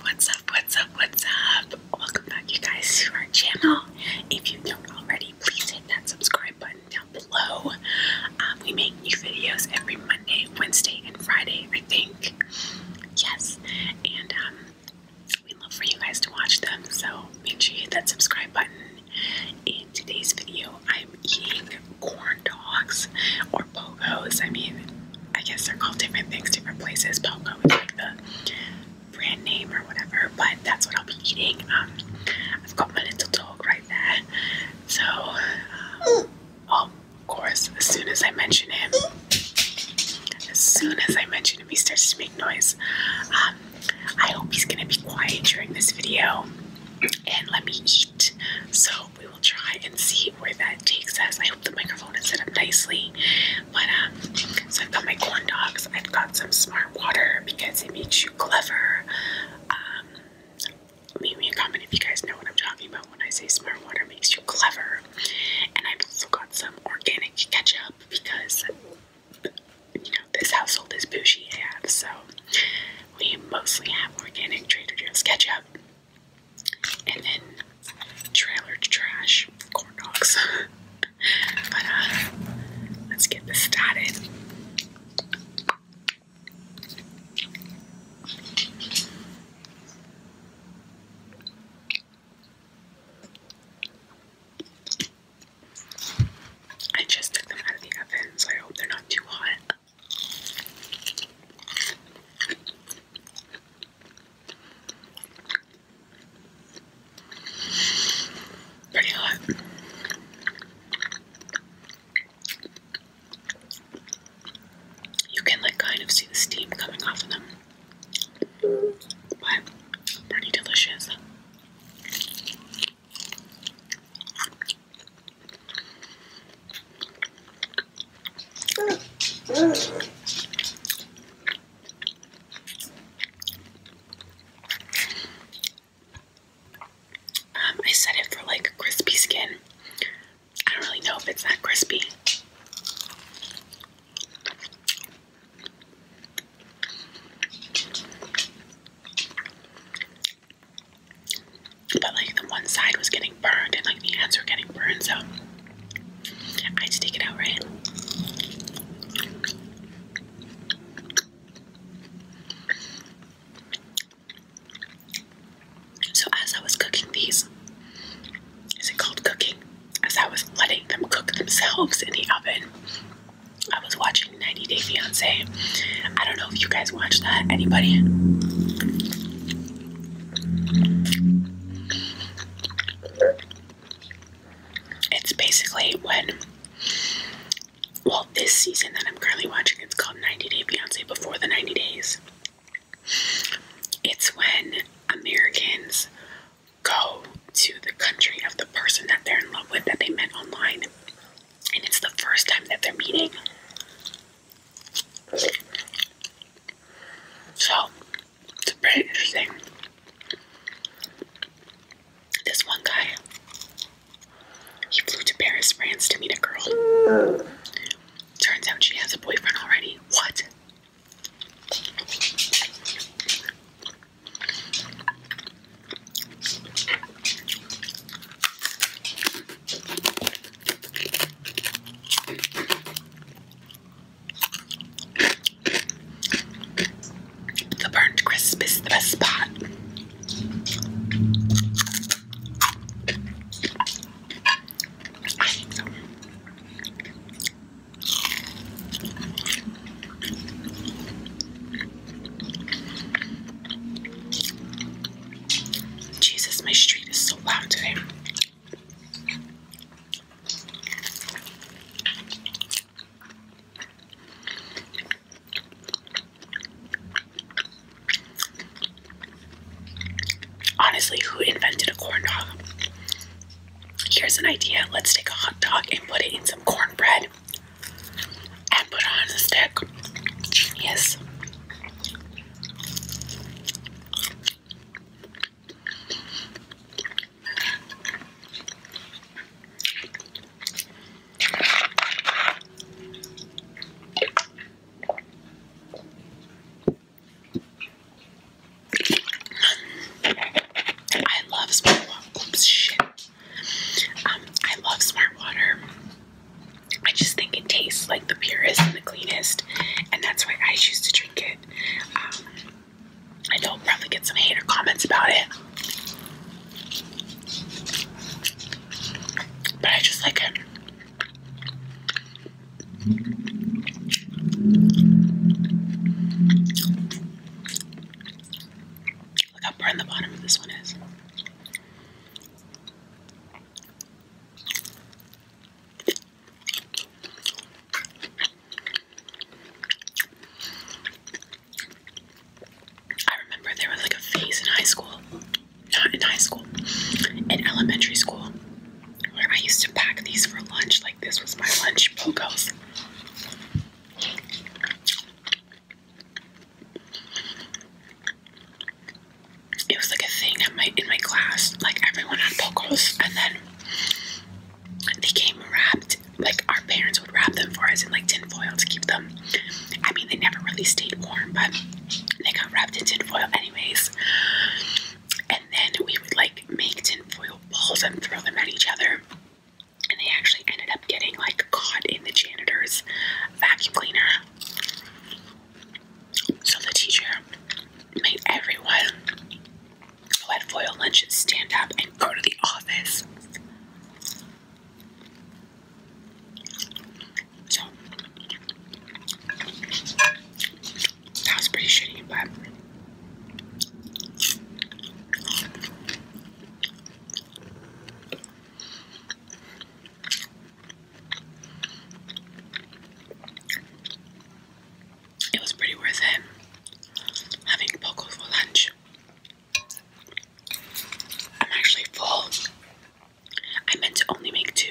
What's up, what's up, what's up? Welcome back, you guys, to our channel. If you don't already, please hit that subscribe button down below. Um, we make new videos every Monday, Wednesday, and Friday, I think. Yes, and um, we love for you guys to watch them, so make sure you hit that subscribe button. In today's video, I'm eating corn dogs pogos. I mean, I guess they're called different things, different places. Pogo is like the brand name or whatever, but that's what I'll be eating. Um, I've got my little dog right there. So, um, oh, of course, as soon as I mention him, as soon as I mention him, he starts to make noise. Um, I hope he's gonna be quiet during this video and let me eat. So, we will try and see where that takes us. I hope the microphone is set up nicely. But um, so I've got my corn dogs. I've got some smart water because it makes you clever. Um, leave me a comment if you guys know what I'm talking about when I say smart water makes you clever. And I've also got some organic ketchup because you know this household is bougie AF, so we mostly have organic Trader Joe's ketchup and then trailer trash corn dogs. but uh, let's get this started. I just took them out of the oven, so I hope they're not too hot. Pretty hot. You can like kind of see the steam coming off of them. But pretty delicious. Um, I set it for like crispy skin. I don't really know if it's that crispy. But like the one side was getting burned and like the ends were getting burned, so I had to take it out, right? So as I was cooking these, is it called cooking? As I was letting them cook themselves in the oven, I was watching 90 Day Fiance. I don't know if you guys watched that. Anybody? It's basically when, well, this season that I'm currently watching, it's called 90 Day Fiance Before the 90 Days. It's when Americans go to the country of the person that they're in love with that they met online, and it's the first time that they're meeting. So, it's pretty interesting. This one guy, he flew to Paris, France to meet a girl. Turns out she has a boyfriend already. What? The burnt crisp is the best part. Jesus, my street is so loud today. Honestly, who invented a corn dog? Here's an idea. Let's take a hot dog and put it in some cornbread and put it on a stick. Genius. Um, I love smart water. I love smart water. I just think it tastes like the purest and the cleanest, and that's why I choose to drink it. Um, I know I'll probably get some hater comments about it, but I just like it. Look how brown the bottom of this one is. I remember there was like a phase in high school, not in high school, in elementary school, where I used to pack these for lunch. Like this was my lunch, Pogos it was like a thing at my in my class. Like everyone had pokos, and then they came wrapped. Like our parents would wrap them for us in like tin foil to keep them. I mean, they never really stayed warm, but they got wrapped in tin foil anyways. And then we would like make tin foil balls and throw them at each other. And they actually ended up getting like caught in the janitor's vacuum cleaner. So the teacher made everyone who had foil lunches stand up and go to the office. So that was pretty shitty, but it was pretty worth it having poco for lunch. I'm actually full. I meant to only make two.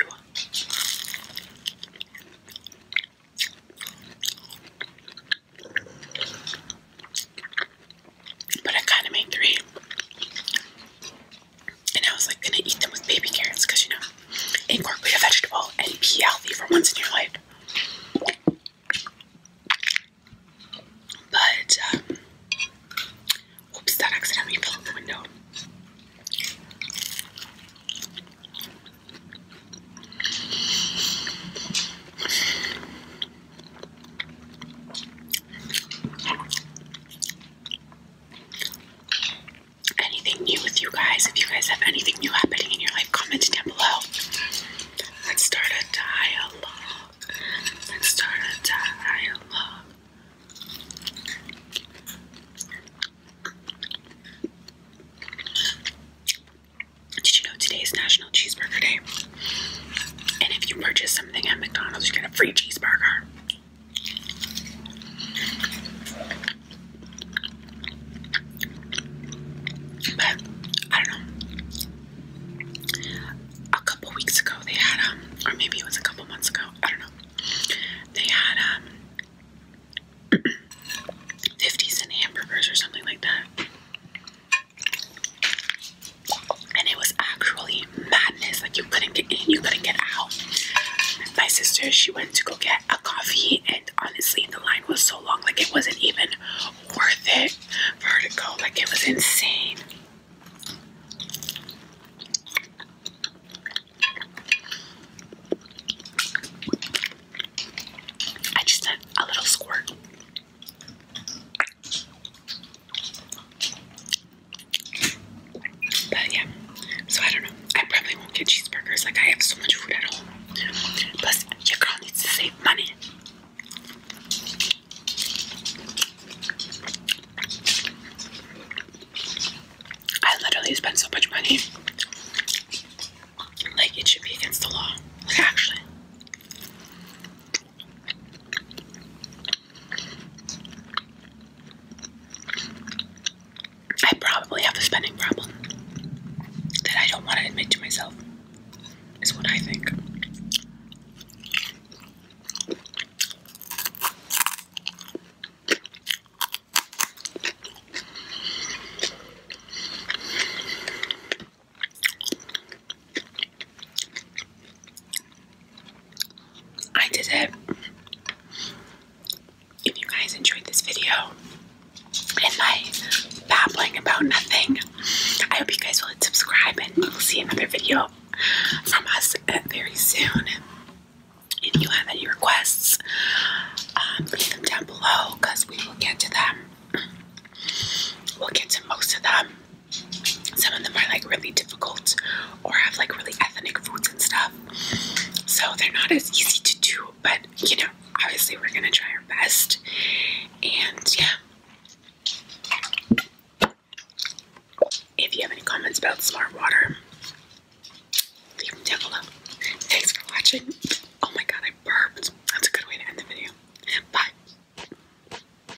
But I kind of made three. And I was like gonna eat them with baby carrots because you know, incorporate a vegetable and be healthy for once in your life. But, um, oops, that accidentally fell out the window anything new with you guys. If you guys have anything new happening in your life, comment down below. Let's start a dialogue. Let's start a dialogue. Did you know today is National Cheeseburger Day? And if you purchase something at McDonald's, you get a free cheeseburger. But I don't know. A couple weeks ago, they had um, or maybe it was a couple months ago. I don't know. They had um, fifties and hamburgers or something like that and it was actually madness. Like you couldn't get in, you couldn't get out. My sister, she went to go get a coffee, and honestly, the line was so long, like it wasn't even worth it for her to go. Like it was insane. I just had a little squirt. But yeah, so I don't know. I probably won't get cheeseburgers. Like I have so much food at home. Plus, your girl needs to save money. I literally spend so much money. Like it should be against the law. Like actually. I probably have a spending problem that I don't want to admit to myself, is what I think. I did it. If you guys enjoyed this video and my babbling about nothing, I hope you guys will hit subscribe and you'll see another video from us very soon. If you have any requests, um, leave them down below because we will get to them. We'll get to most of them some of them are like really difficult or have like really ethnic foods and stuff. So they're not as easy to do, but you know, obviously we're gonna try our best. And yeah. If you have any comments about smart water, leave them down below. Thanks for watching. Oh my god, I burped. That's a good way to end the video. Bye.